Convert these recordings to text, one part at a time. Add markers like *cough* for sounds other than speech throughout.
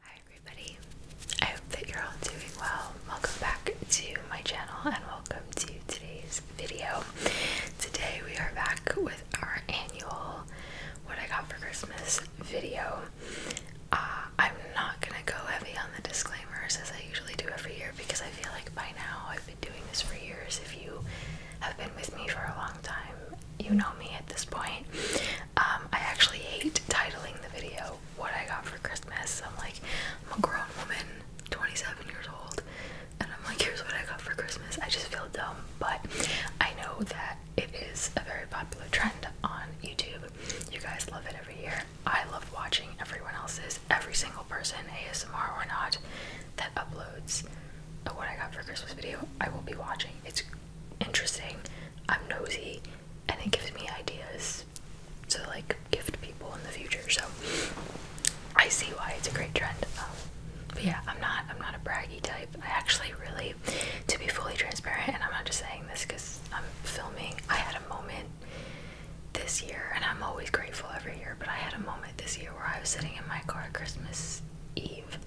Hi everybody, I hope that you're all doing well. Welcome back to my channel and welcome to today's video. Today we are back with our annual What I Got for Christmas video. Uh, I'm not gonna go heavy on the disclaimers as I usually do every year because I feel like by now I've been doing this for years. If you have been with me for a long time you know me at this point. Um, I actually hate titling the video what I got for Christmas. I'm like, I'm a grown woman, 27 years old, and I'm like, here's what I got for Christmas. I just feel dumb, but I know that it is a very popular trend on YouTube. You guys love it every year. I love watching everyone else's, every single person, ASMR or not, that uploads a what I got for Christmas video. I will be watching. It's interesting. I'm nosy and it gives me ideas to like gift people in the future. So I see why it's a great trend. Um, but yeah, I'm not I'm not a braggy type. I actually really, to be fully transparent, and I'm not just saying this because I'm filming. I had a moment this year, and I'm always grateful every year. But I had a moment this year where I was sitting in my car Christmas Eve,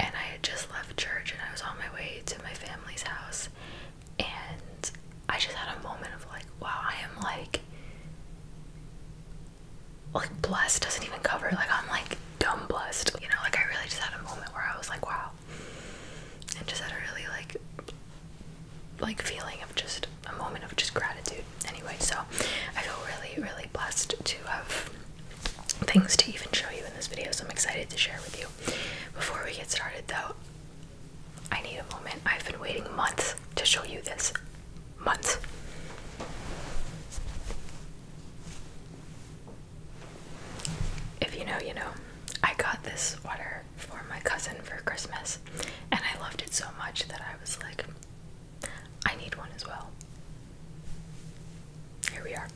and I had just left church and I was on my way to my family's house and I just had a moment of like, wow, I am like like blessed doesn't even cover like I'm like dumb blessed. You know, like I really just had a moment where I was like, wow. And just had a really like like feeling of just a moment of just gratitude. Anyway, so I feel really, really blessed to have things to even show you in this video, so I'm excited to share with you. Before we get started, though, I need a moment. I've been waiting months to show you this. Months. If you know, you know. I got this water for my cousin for Christmas, and I loved it so much that I was like, I need one as well. Here we are.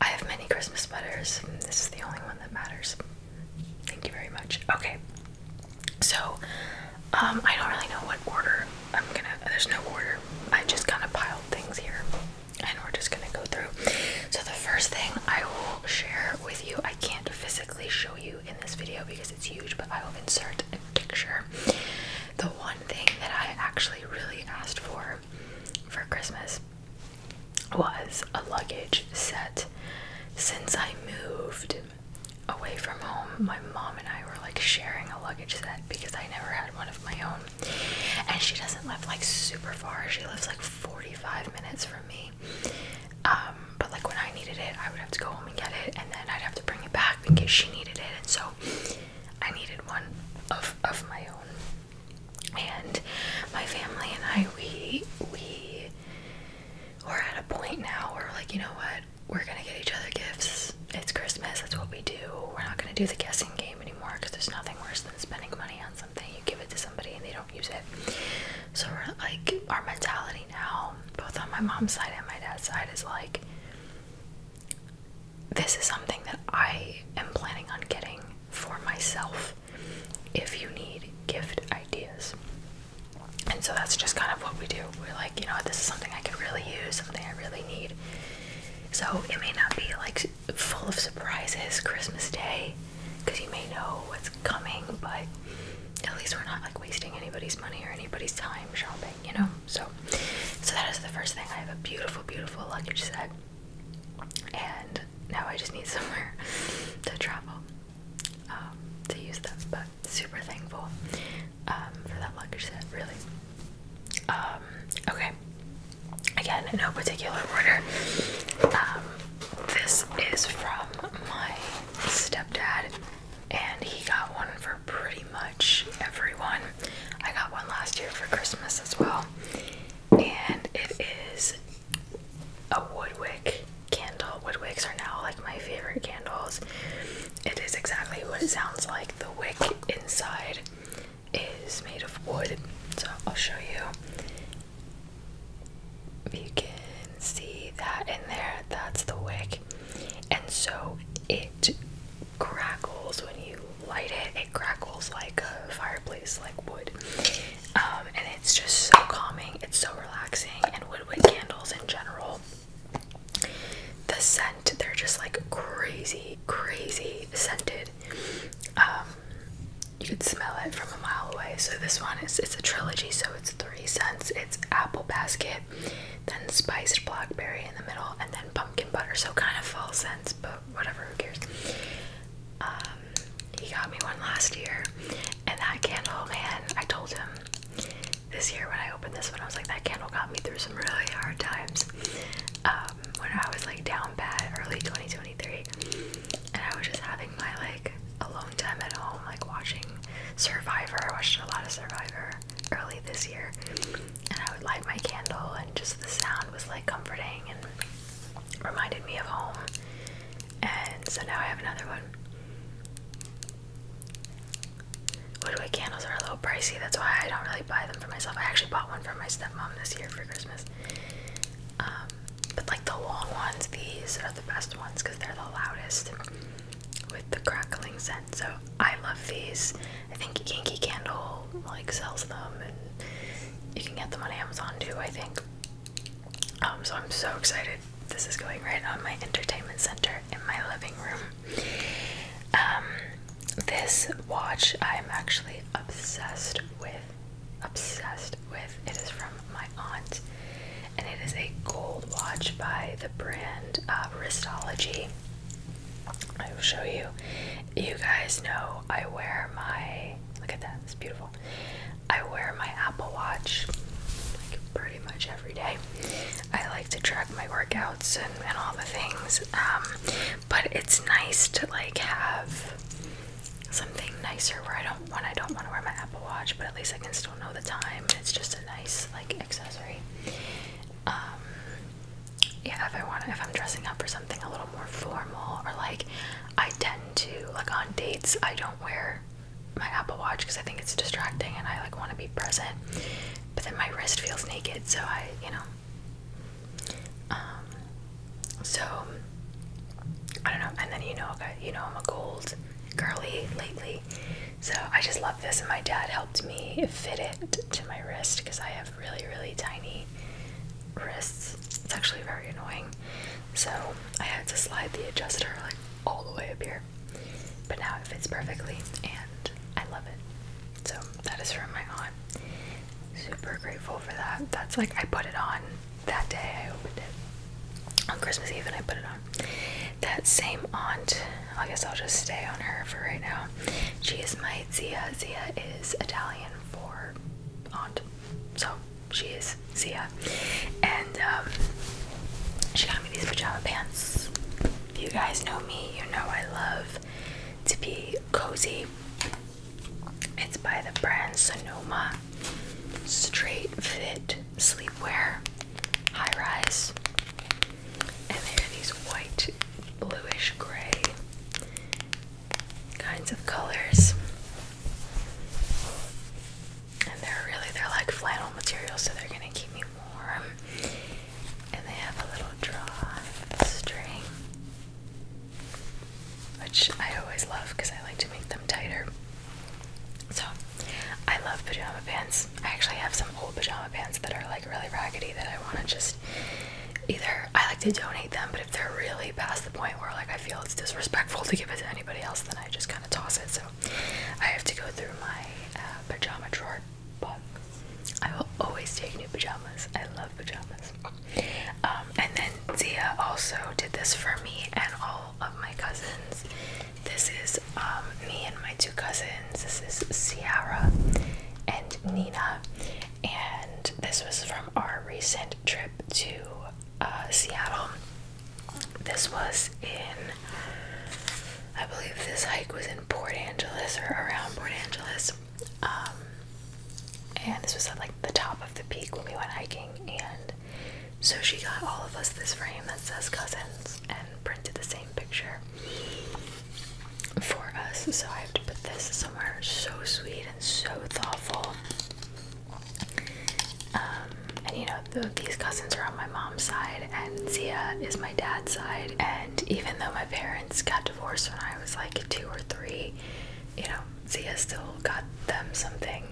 I have many Christmas sweaters. This is the only one that matters. Thank you very much. Okay. So, um, I don't really know what order I'm gonna. There's no order. I just kind of piled things here, and we're just gonna go through. So the first thing I will share with you, I can't physically show you in this video because it's huge, but I will insert a picture. The one thing that I actually really, asked for for Christmas was a luggage set. Since I moved away from home, my mom and I were like sharing a luggage set because I never had one of my own. And she doesn't live like super far, she lives like 45 minutes from me. Um, but like when I needed it, I would have to go home and get it, and then I'd have to bring it back because she needed it. And so I needed one of of my own. And my family and I we we we're at a point now where we're like, you know what, we're gonna get each other gifts. It's Christmas, that's what we do. We're not gonna do the guessing game anymore because there's nothing worse than spending money on something. You give it to somebody and they don't use it. So we're like our mentality now, both on my mom's side and my dad's side, is like this is something that I am planning on getting for myself if you need gift ideas. And so that's just kind of what we do. We're like, you know, this is something I could really use, something I really need. So it may not be like full of surprises Christmas Day because you may know what's coming, but at least we're not like wasting anybody's money or anybody's time shopping you know? So so that is the first thing. I have a beautiful, beautiful luggage set. And now I just need *laughs* somewhere to travel um, to use them. But super thankful um, for that luggage set, really. Um, okay. Again, no particular order. Um, this is from my stepdad, and he got one for pretty much everyone. I got one last year for Christmas as well, and it is a wood wick candle. Wood wicks are now like my favorite candles. It is exactly what it sounds like. The wick inside is made of wood, so I'll show you. You can see that in there, that's the wick. And so it it crackles when you light it. It crackles like a fireplace, like wood. Um, and it's just so calming. It's so relaxing. And woodwick candles in general, the scent, they're just like crazy, crazy scented. Um, you could smell it from a mile away. So this one is it's a trilogy, so it's three scents. It's apple basket, then spiced blackberry in the middle, and then pumpkin butter. So kind of fall scents, but whatever, who cares? Um, he got me one last year, and that candle, man, I told him this year when I opened this one, I was like, that candle got me through some really hard times. Um, when I was like down bad, early 2023, and I was just having my like alone time at home, like watching Survivor. I watched a lot of Survivor early this year, and I would light my candle, and just the sound was like comforting and reminded me of home. And so now I have another one. Woodwick candles are a little pricey, that's why I don't really buy them for myself. I actually bought one for my stepmom this year for Christmas. Um, but like the long ones, these are the best ones because they're the loudest with the crackling scent. So I love these. I think Yankee Candle like sells them, and you can get them on Amazon too. I think. Um, so I'm so excited. This is going right on my entertainment center in my living room. Um, this watch I'm actually obsessed with. Obsessed with. It is from my aunt, and it is a gold watch by the brand uh, Wristology. I will show you. You guys know I wear my look at that, it's beautiful. I wear my Apple Watch like pretty much every day. I like to track my workouts and, all the things. Um, but it's nice to like have something nicer where I don't when I don't want to wear my Apple Watch, but at least I can still know the time. It's just a nice like accessory um, yeah, if I want, if I'm dressing up for something a little more formal, or like I tend to like on dates, I don't wear my Apple Watch because I think it's distracting and I like want to be present. But then my wrist feels naked, so I, you know. Um, so I don't know. And then you know, you know, I'm a gold girly lately. So I just love this, and my dad helped me fit it to my wrist because I have really, really tiny wrists. It's actually very annoying. So I had to slide the adjuster like all the way up here, but now it fits perfectly, and I love it. So that is from my aunt. Super grateful for that. That's like I put it on that day I opened it on Christmas Eve, and I put it on that same aunt, I guess I'll just stay on her for right now. She is my Zia. Zia is Italian for aunt. So she is Zia. And um, she got me these pajama pants. If you guys know me, you know I love to be cozy. It's by the brand Sonoma Straight Fit Sleepwear High Rise and they're these white, bluish gray kinds of colors. And they're really they're like flannel material, so they're gonna keep me warm. And they have a little draw string, which I always love because I like to make them tighter. So, I love pajama pants. I actually have some old pajama pants that are like really raggedy that I want to just either I like to donate them, but if they're really past the point where like I feel it's disrespectful to give it to anybody else, then I just kind of toss it. So, I have to go through my uh, pajama drawer, but I will always take new pajamas. I love pajamas. Um, and then Zia also did this for me and all of my cousins. This is um, me and my two cousins. This is Sierra and Nina. And this was from our recent trip to uh, Seattle. This was in, I believe this hike was in Port Angeles or around Port Angeles. Um, and this was at like the top of the peak when we went hiking. And so she got all of us this frame that says cousins and printed the same picture for us. So I have to put this somewhere so sweet and so thoughtful. Um, and you know, these cousins are on my mom's side, and Zia is my dad's side. And even though my parents got divorced when I was like two or three, you know, Zia still got them something,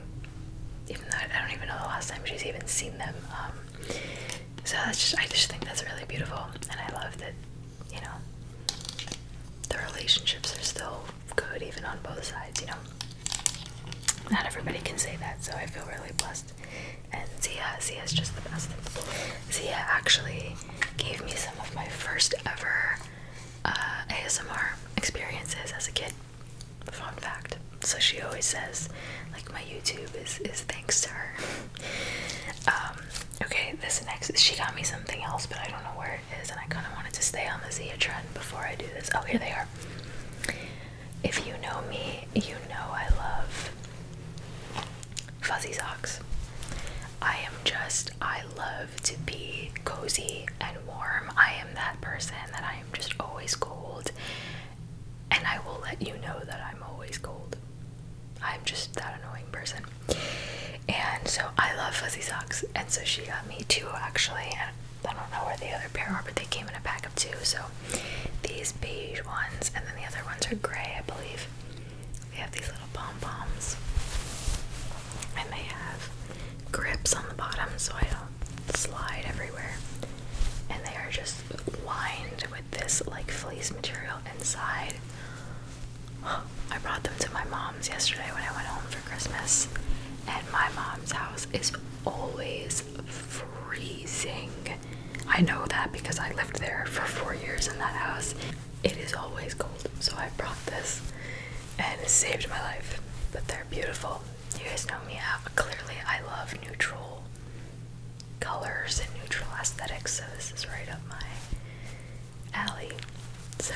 even though I don't even know the last time she's even seen them. Um, so that's just, I just think that's really beautiful, and I love that, you know, the relationships are still good even on both sides, you know. Not everybody can say that, so I feel really blessed. And Zia, Zia's just the best. Zia actually gave me some of my first ever uh, ASMR experiences as a kid. Fun fact. So she always says, like, my YouTube is is thanks to her. *laughs* Um, okay, this next she got me something else, but I don't know where it is, and I kind of wanted to stay on the Zia trend before I do this. Oh, here they are. If you know me, you know I love fuzzy socks. I am just I love to be cozy and warm. I am that person that I am just always cold and I will let you know that I'm always cold. I'm just that annoying person. And so I love fuzzy socks, and so she got me two actually. And I don't know where the other pair are, but they came in a pack of two. So these beige ones, and then the other ones are gray, I believe. They have these little pom poms, and they have grips on the bottom so I don't slide everywhere and they are just lined with this like fleece material inside. *gasps* I brought them to my mom's yesterday when I went home for Christmas, and my mom's house is always freezing. I know that because I lived there for four years in that house. It is always cold, so I brought this and it saved my life. But they're beautiful you guys know me. I, clearly, I love neutral colors and neutral aesthetics, so this is right up my alley. So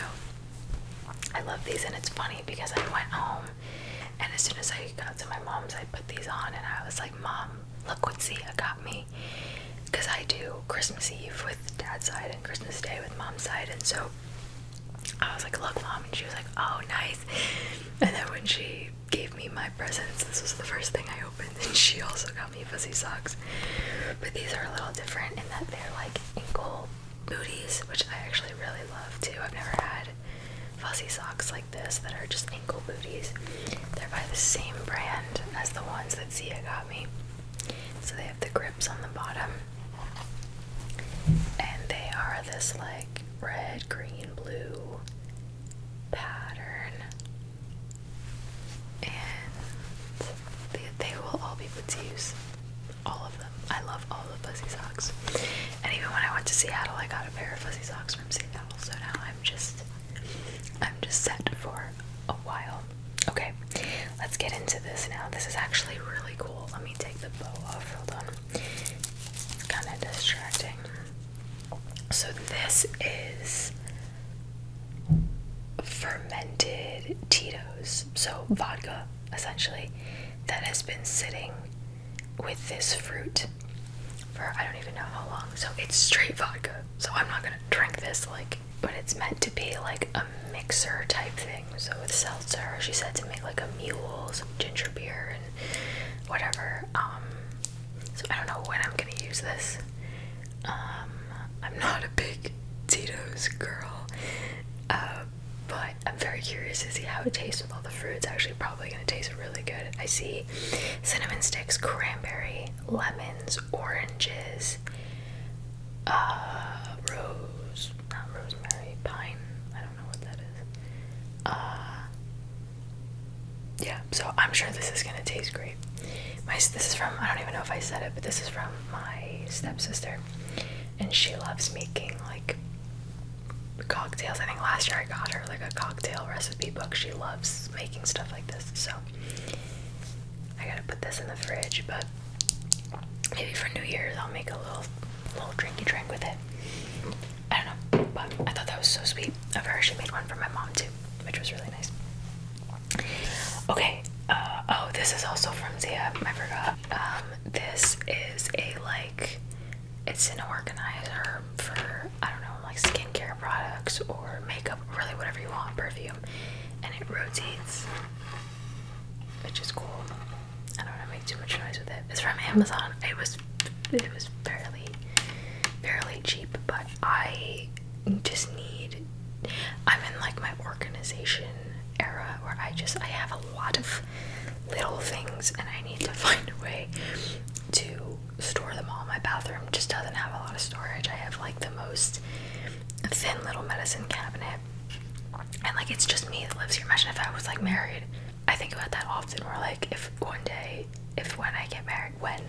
I love these, and it's funny because I went home, and as soon as I got to my mom's, I put these on, and I was like, "Mom, look what Zia got me," because I do Christmas Eve with Dad's side and Christmas Day with Mom's side, and so. I was like, look, mom, and she was like, oh, nice. And then when she gave me my presents. This was the first thing I opened, and she also got me fuzzy socks. But these are a little different in that they're like ankle booties, which I actually really love too. I've never had fuzzy socks like this that are just ankle booties. They're by the same brand as the ones that Zia got me. So they have the grips on the bottom. And they are this like red, green, blue pattern. And they, will all be put to use. All of them. I love all the fuzzy socks. And even when I went to Seattle, I got a pair of fuzzy socks from Seattle. So now I'm just, I'm just set for a while. Okay, let's get into this now. This is actually really cool. Let me take the bow off. Hold on. It's kind of distracting. So, this is fermented Tito's, so vodka essentially, that has been sitting with this fruit for I don't even know how long. So, it's straight vodka. So, I'm not gonna drink this, like, but it's meant to be like a mixer type thing. So, with seltzer, she said to make like a mule, some ginger beer, whatever. Um, so I don't know when I'm gonna use this. Um, I'm not a big Tito's girl, uh, but I'm very curious to see how it tastes with all the fruits. Actually, probably gonna taste really good. I see cinnamon sticks, cranberry, lemons, oranges, uh, rose, not rosemary, pine. I uh, yeah, so I'm sure this is gonna taste great. My this is from I don't even know if I said it, but this is from my stepsister, and she loves making like cocktails. I think last year I got her like a cocktail recipe book. She loves making stuff like this, so I gotta put this in the fridge. But maybe for New Year's I'll make a little little drinky drink with it. I don't know, but I thought that was so sweet of her. She made one for my mom too, which was really nice. Okay, uh, oh, this is also from Zia. I forgot. Um, this is a like, it's an organizer for I don't know, like skincare products or makeup, really whatever you want, perfume, and it rotates, which is cool. I don't want to make too much noise with it. It's from Amazon. It was it was fairly fairly cheap, but I just need I'm in like my organization era where I just I have a lot of little things and I need to *laughs* find a way to store them all. My bathroom just doesn't have a lot of storage. I have like the most thin little medicine cabinet. And like it's just me that lives here. Imagine if I was like married I think about that often. We're like, if one day, if when I get married, when,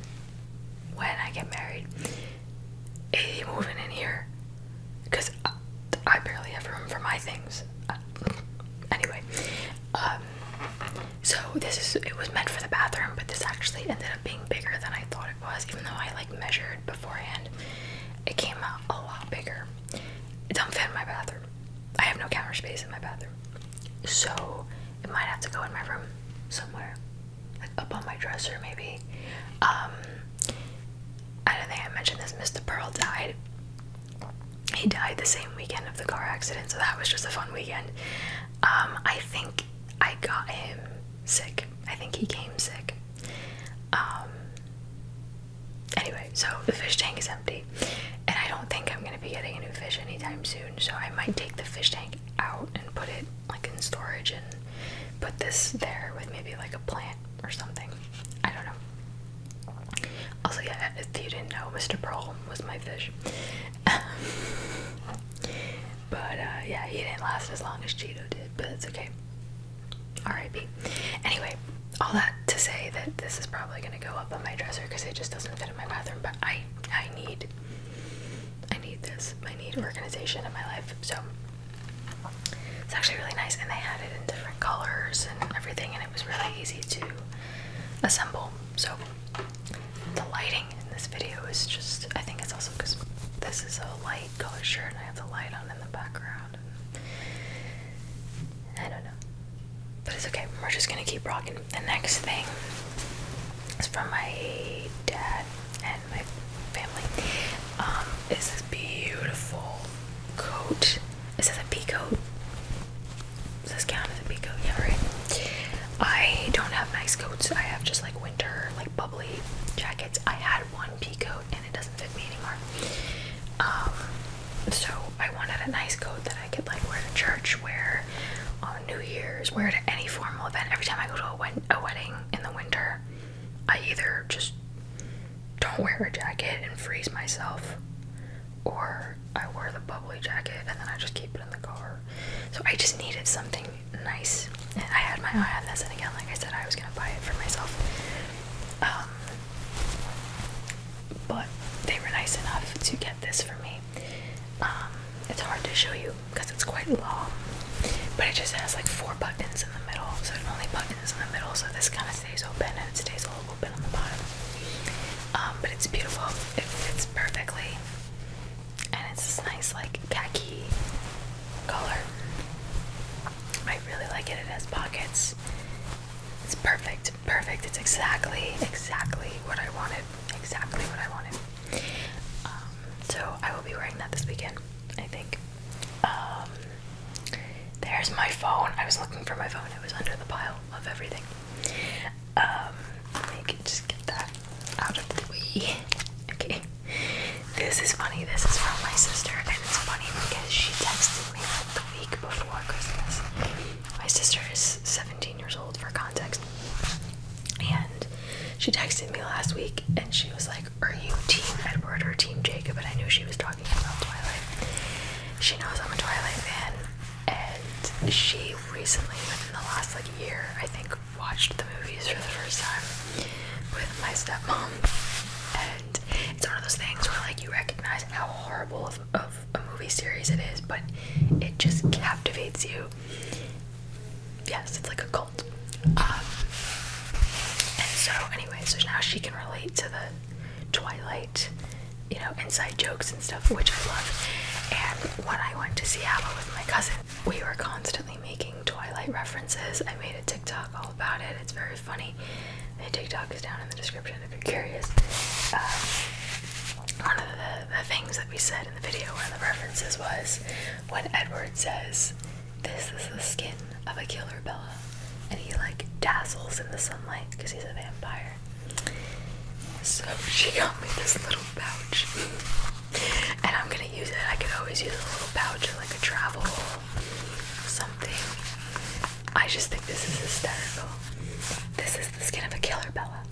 when I get married, is he moving in here? Because I, barely have room for my things. Uh, anyway, um, so this is it was meant for the bathroom, but this actually ended up being bigger than I thought it was. Even though I like measured beforehand, it came out a lot bigger. It doesn't fit in my bathroom. I have no counter space in my bathroom. So it might have to go in my room somewhere. Like up on my dresser maybe. Um, I don't think I mentioned this, Mr. Pearl died. He died the same weekend of the car accident, so that was just a fun weekend. Um, I think I got him sick. I think he came sick. Um, Anyway, so the fish tank is empty, and I don't think I'm gonna be getting a new fish anytime soon. So I might take the fish tank out and put it like in storage and put this there with maybe like a plant or something. I don't know. Also, yeah, if you didn't know, Mr. Pearl was my fish. *laughs* but uh, yeah, he didn't last as long as Cheeto did, but it's okay. R.I.P. Anyway, all that to say that this is probably gonna go up on my dresser because it just doesn't fit in my bathroom. But I, I need, I need this. I need organization in my life. So it's actually really nice, and they had it in different colors and everything, and it was really easy to assemble. So the lighting in this video is just. I think it's also because this is a light colored shirt, and I have the light on in the background. I don't know. But it's okay. We're just gonna keep rocking. The next thing is from my dad and my family. Um, is this beautiful coat. It says a peacoat. Does this count as a peacoat? Yeah, right. I don't have nice coats. I have just like winter, like bubbly jackets. I had one peacoat and it doesn't fit me anymore. Um, so I wanted a nice coat that I could like wear to church, wear on New Year's, wear to any formal event. Every time I go to a, wedding in the winter, I either just don't wear a jacket and freeze myself, or I wear the bubbly jacket and then I just keep it in the car. So I just needed something nice. And I had my eye on this, and again, like I said, I was gonna buy it for myself. Um, but they were nice enough to get this for me. Um, it's hard to show you because it's quite long, but it just has like four buttons in the middle, so it only buttons in the middle, so this kind of stays open and it stays a little open on the bottom. Um, but it's beautiful, it fits perfectly, and it's this nice, like khaki color. I really like it. It has pockets. It's perfect. Perfect. It's exactly, exactly what I wanted. Exactly what I wanted. Um, so I will be wearing that this weekend, I think. Um, there's my phone. I was looking for my phone. It was under the pile of everything. Um, I can just get that out of the way. *laughs* Okay. This is funny. This is from my sister, and it's funny because she texted me like the week before Christmas. My sister is 17 years old, for context, and she texted me last week, and she was like, "Are you Team Edward or Team Jacob?" And I knew she was talking about Twilight. She knows I'm a Twilight fan, and she recently, within the last like year, I think, watched the movies for the first time with my stepmom, it's one of those things where like you recognize how horrible of, a movie series it is, but it just captivates you. Yes, it's like a cult. Um, and so anyway, so now she can relate to the Twilight, you know, inside jokes and stuff, which I love. And when I went to Seattle with my cousin, we were constantly making Twilight references. I made a TikTok all about it. It's very funny me. The TikTok is down in the description if you're curious. Um, one of the, things that we said in the video, one of the references was when Edward says, This is the skin of a killer, Bella. And he like dazzles in the sunlight because he's a vampire. So she got me this little pouch. *laughs* And I'm gonna use it. I can always use a little pouch like a travel something. I just think this is hysterical. This is the skin of a killer, Bella.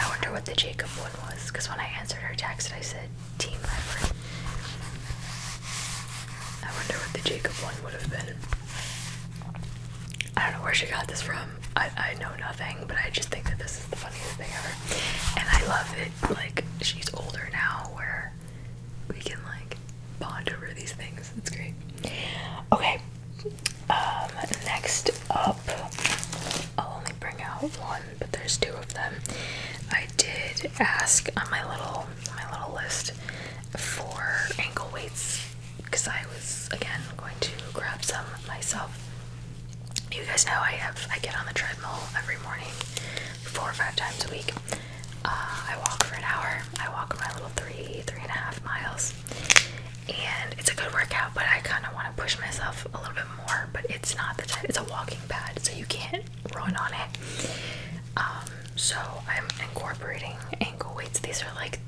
I wonder what the Jacob one was, because when I answered her text, I said team leopard. I wonder what the Jacob one would have been. I don't know where she got this from. I, I know nothing, but I just think that this is the funniest thing ever. And I love it. Like, she's older now, where we can like bond over these things. That's great. Okay. Um, next up, I'll only bring out one, but there's two of them. I did ask on my little my little list for ankle weights because I was again going to grab some myself. You guys know I have I get on the treadmill every morning four or five times a week. Uh, I walk for an hour. I walk my little three, three and a half miles, and it's a good workout. But I kind of want to push myself a little bit more. But it's not the type. It's a walking pad, so you can't run on it. Um, so I'm incorporating ankle weights. These are like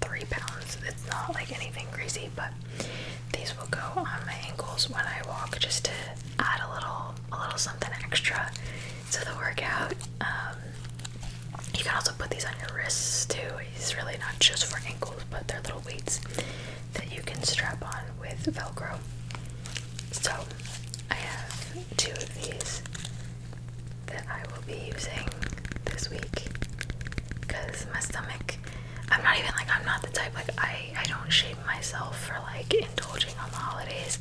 three pounds. It's not like anything crazy, but these will go on my ankles when I walk just to add a little a little something extra to the workout. Um, you can also put these on your wrists too. It's really not just for ankles, but they're little weights that you can strap on with Velcro. So I have two of these that I will be using this week because my stomach. I'm not even like I'm not the type like I I don't shape myself for like indulging on the holidays.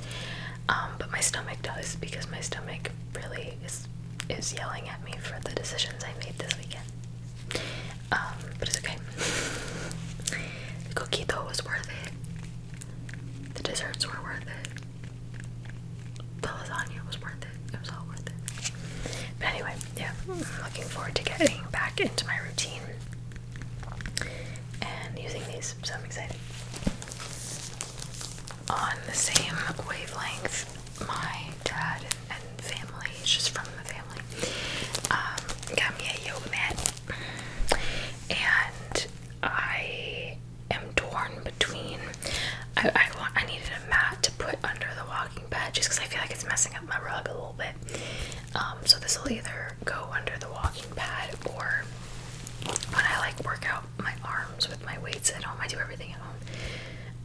Um, but my stomach does because my stomach really is is yelling at me for the decisions I made this weekend. Um, but it's okay. *laughs* the cookie though was worth it. The desserts were worth it. The lasagna was worth it. It was all worth it. But anyway, yeah, looking forward to getting back into my routine and using these, so I'm excited. On the same wavelength, my dad and family, it's just from the family, um, got me a yoga mat, and I am torn between. I I, want, I needed a mat to put under the walking bed just because I feel like it's messing up my rug a little bit. Um, so this will either go under the walking pad or when I like work out my arms with my weights at home. I do everything at home.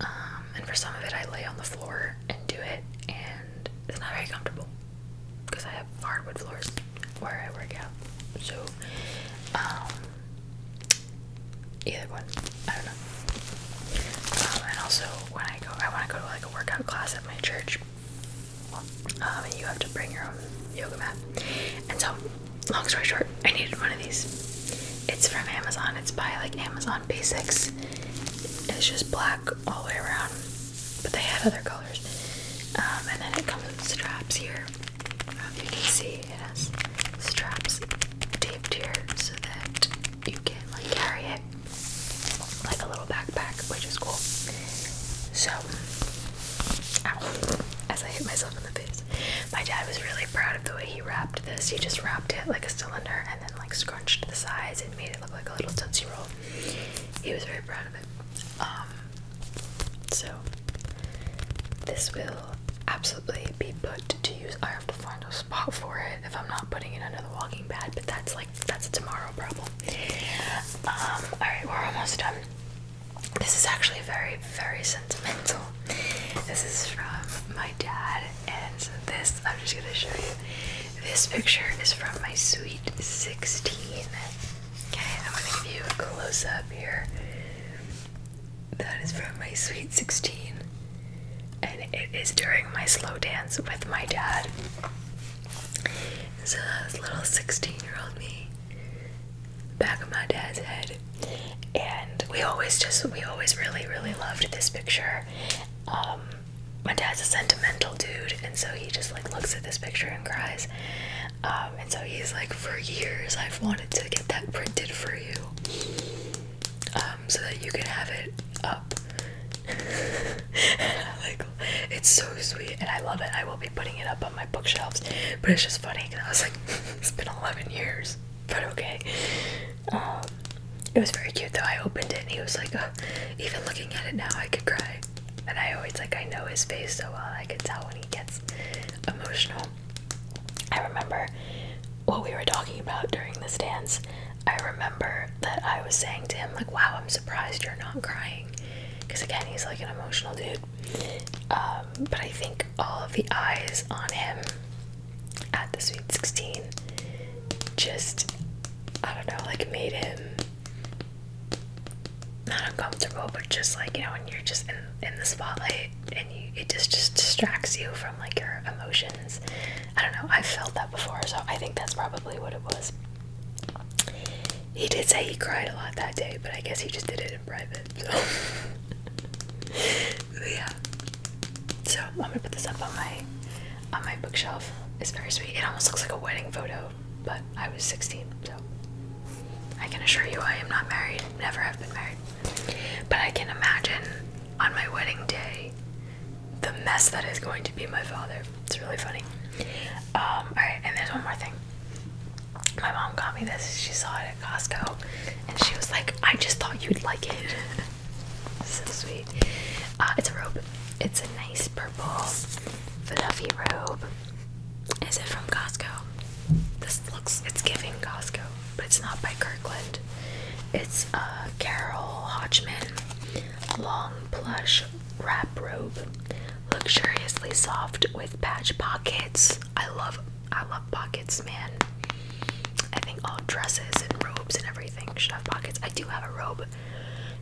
Um, and for some of it, I lay on the floor and do it, and it's not very comfortable because I have hardwood floors where I work out. So, um, either one, I don't know. and also, when I go, I want to go to like a workout class at my church, um, and you have to bring your own yoga mat. And so, long story short, I needed one of these. It's from Amazon. It's by like Amazon Basics. It's just black all the way around, but they had other colors. Um, and then it comes with straps here. Um, you can see it has straps taped here so that you can like carry it like a little backpack, which is cool. So, as I hit myself in the face, my dad was really proud of the way he wrapped this. He just wrapped it like a cylinder and then like scrunched the sides and made it look like a little tootsie roll. He was very proud of it. Um, so this will absolutely be put to use. I have to find a spot for it if I'm not putting it under the walking pad, but that's like that's a tomorrow problem. Um, alright, we're almost done. This is actually very, very sentimental. This is from my dad, and this I'm just gonna show you. This picture is from my sweet 16. Okay, I'm gonna give you a close up here. That is from my sweet 16, and it is during my slow dance with my dad so that was little 16 year old me, back of my dad's head. And we always just, we always really, really loved this picture. Um, my dad's a sentimental dude, and so he just like looks at this picture and cries. Um, and so he's like, for years, I've wanted to get that printed for you, um, so that you can have it up *laughs* like, it's so sweet and I love it. I will be putting it up on my bookshelves. But it's just funny because I was like, *laughs* it's been 11 years, but okay. Um, it was very cute though. I opened it and he was like, oh, even looking at it now, I could cry. And I always like, I know his face so well. I can tell when he gets emotional. I remember what we were talking about during this dance I remember that I was saying to him, like, wow, I'm surprised you're not crying. Because again, he's like an emotional dude. Um, but I think all of the eyes on him at the Sweet 16 just, I don't know, like made him not uncomfortable, but just like, you know, when you're just in, the spotlight and you, it just, just distracts you from like your emotions. I don't know, i felt that before, so I think that's probably what it was. He did say he cried a lot that day, but I guess he just did it in private. So *laughs* yeah. So I'm gonna put this up on my on my bookshelf. It's very sweet. It almost looks like a wedding photo, but I was 16, so I can assure you I am not married. Never have been married. But I can imagine on my wedding day the mess that is going to be my father. It's really funny. Um, alright, and there's one more thing. My mom got me this. She saw it at Costco and she was like, I just thought you'd like it. *laughs* so sweet. Uh, it's a robe. It's a nice purple fluffy robe. Is it from Costco? This looks, it's giving Costco, but it's not by Kirkland. It's uh, Carol Hodgman long plush wrap robe, luxuriously soft with patch pockets. I love I love pockets, man. I think all dresses and robes and everything should have pockets. I do have a robe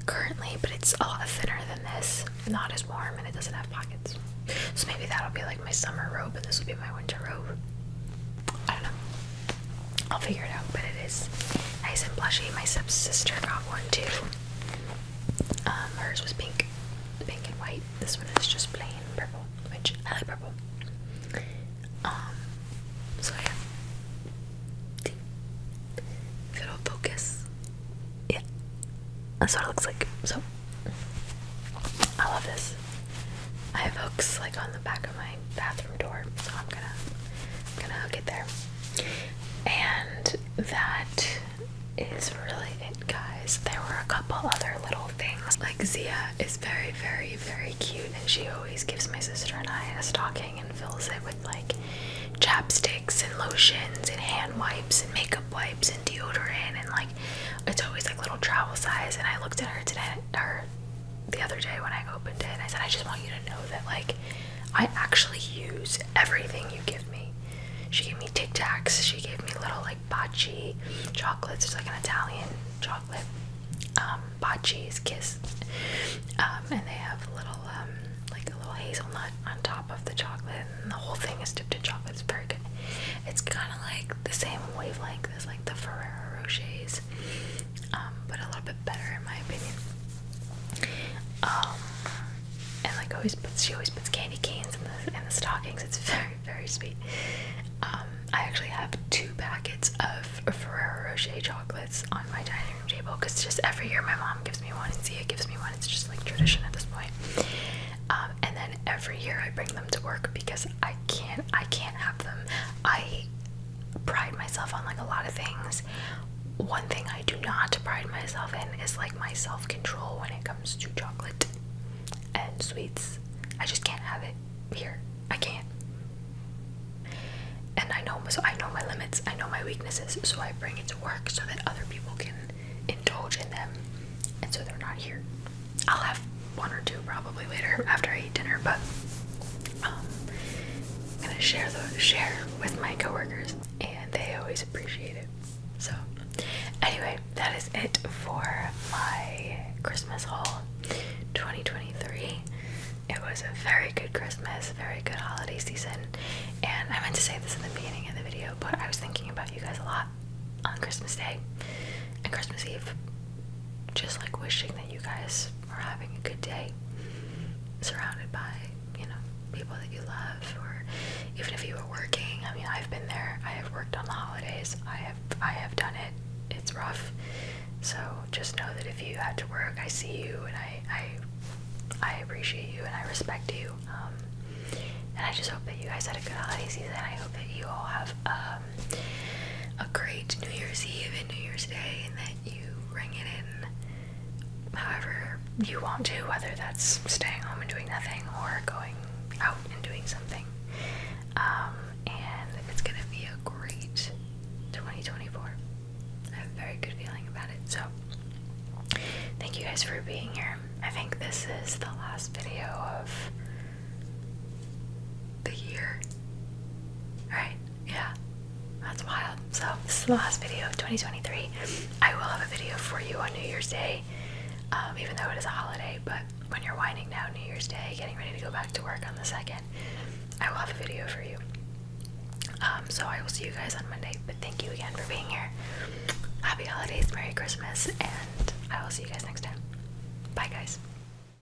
currently, but it's a lot thinner than this. Not as warm and it doesn't have pockets. So maybe that'll be like my summer robe and this will be my winter robe. I don't know. I'll figure it out, but it is nice and blushy. My stepsister got one too. Um, hers was pink, pink and white. This one is just plain purple, which I like purple. Um, so yeah. If it'll focus, yeah, that's what it looks like. So I love this. I have hooks like on the back of my bathroom door, so I'm gonna i gonna hook it there. And that is really it, guys. There were a couple other little things. Like Zia is very, very, very cute, and she always gives my sister and I a stocking and fills it with like chapsticks and lotions and hand wipes and makeup wipes and deodorant and like it's always like little travel size. And I looked at her today, her the other day when I opened it, I said, I just want you to know that, like, I actually use everything you give me. She gave me Tic Tacs, she gave me little, like, bocce chocolates. It's like an Italian chocolate. Um, bocce kiss. Um, and they have little, um, like, a little hazelnut on top of the chocolate, and the whole thing is dipped in chocolate. It's very good. It's kind of like the same wavelength as, like, the Ferrero Rochers um, but a little bit better in my opinion. Um, and like always, puts she always puts candy canes in the in the stockings. It's *laughs* very very sweet. Um, I actually have two packets of Ferrero Rocher chocolates on my dining room table because just every year my mom gives me one and Zia gives me one. It's just like tradition at this point. Um, and then every year I bring them to work because I can't I can't have them. I pride myself on like a lot of things. One thing I do not pride myself in is like my self control when it comes to chocolate and sweets. I just can't have it here. I can't. And I know so I know my limits, I know my weaknesses, so I bring it to work so that other people can indulge in them and so they're not here. I'll have one or two probably later after I eat dinner, but um, I'm gonna share the share with my coworkers, and they always appreciate it. So, anyway, that is it for my Christmas haul, 2023. It was a very good Christmas, very good holiday season, and I meant to say this at the beginning of the video, but I was thinking about you guys a lot on Christmas Day and Christmas Eve, just like wishing that you guys or having a good day surrounded by, you know, people that you love or even if you were working. I mean, I've been there. I have worked on the holidays. I have I have done it. It's rough. So just know that if you had to work, I see you and I I I appreciate you and I respect you. Um, and I just hope that you guys had a good holiday season. I hope that you all have a um, a great New Year's Eve and New Year's Day, and that you ring it in however you want to, whether that's staying home and doing nothing or going out and doing something. Um, and it's gonna be a great 2024. I have a very good feeling about it. So, thank you guys for being here. I think this is the last video of the year. Alright, yeah, that's wild. So this is the last video of 2023. I will have a video for you on New Year's Day, um, even though it is a holiday. But when you're winding down New Year's Day, getting ready to go back to work on the second, I will have a video for you. Um, so I will see you guys on Monday. But thank you again for being here. Happy holidays, Merry Christmas, and I will see you guys next time. Bye, guys.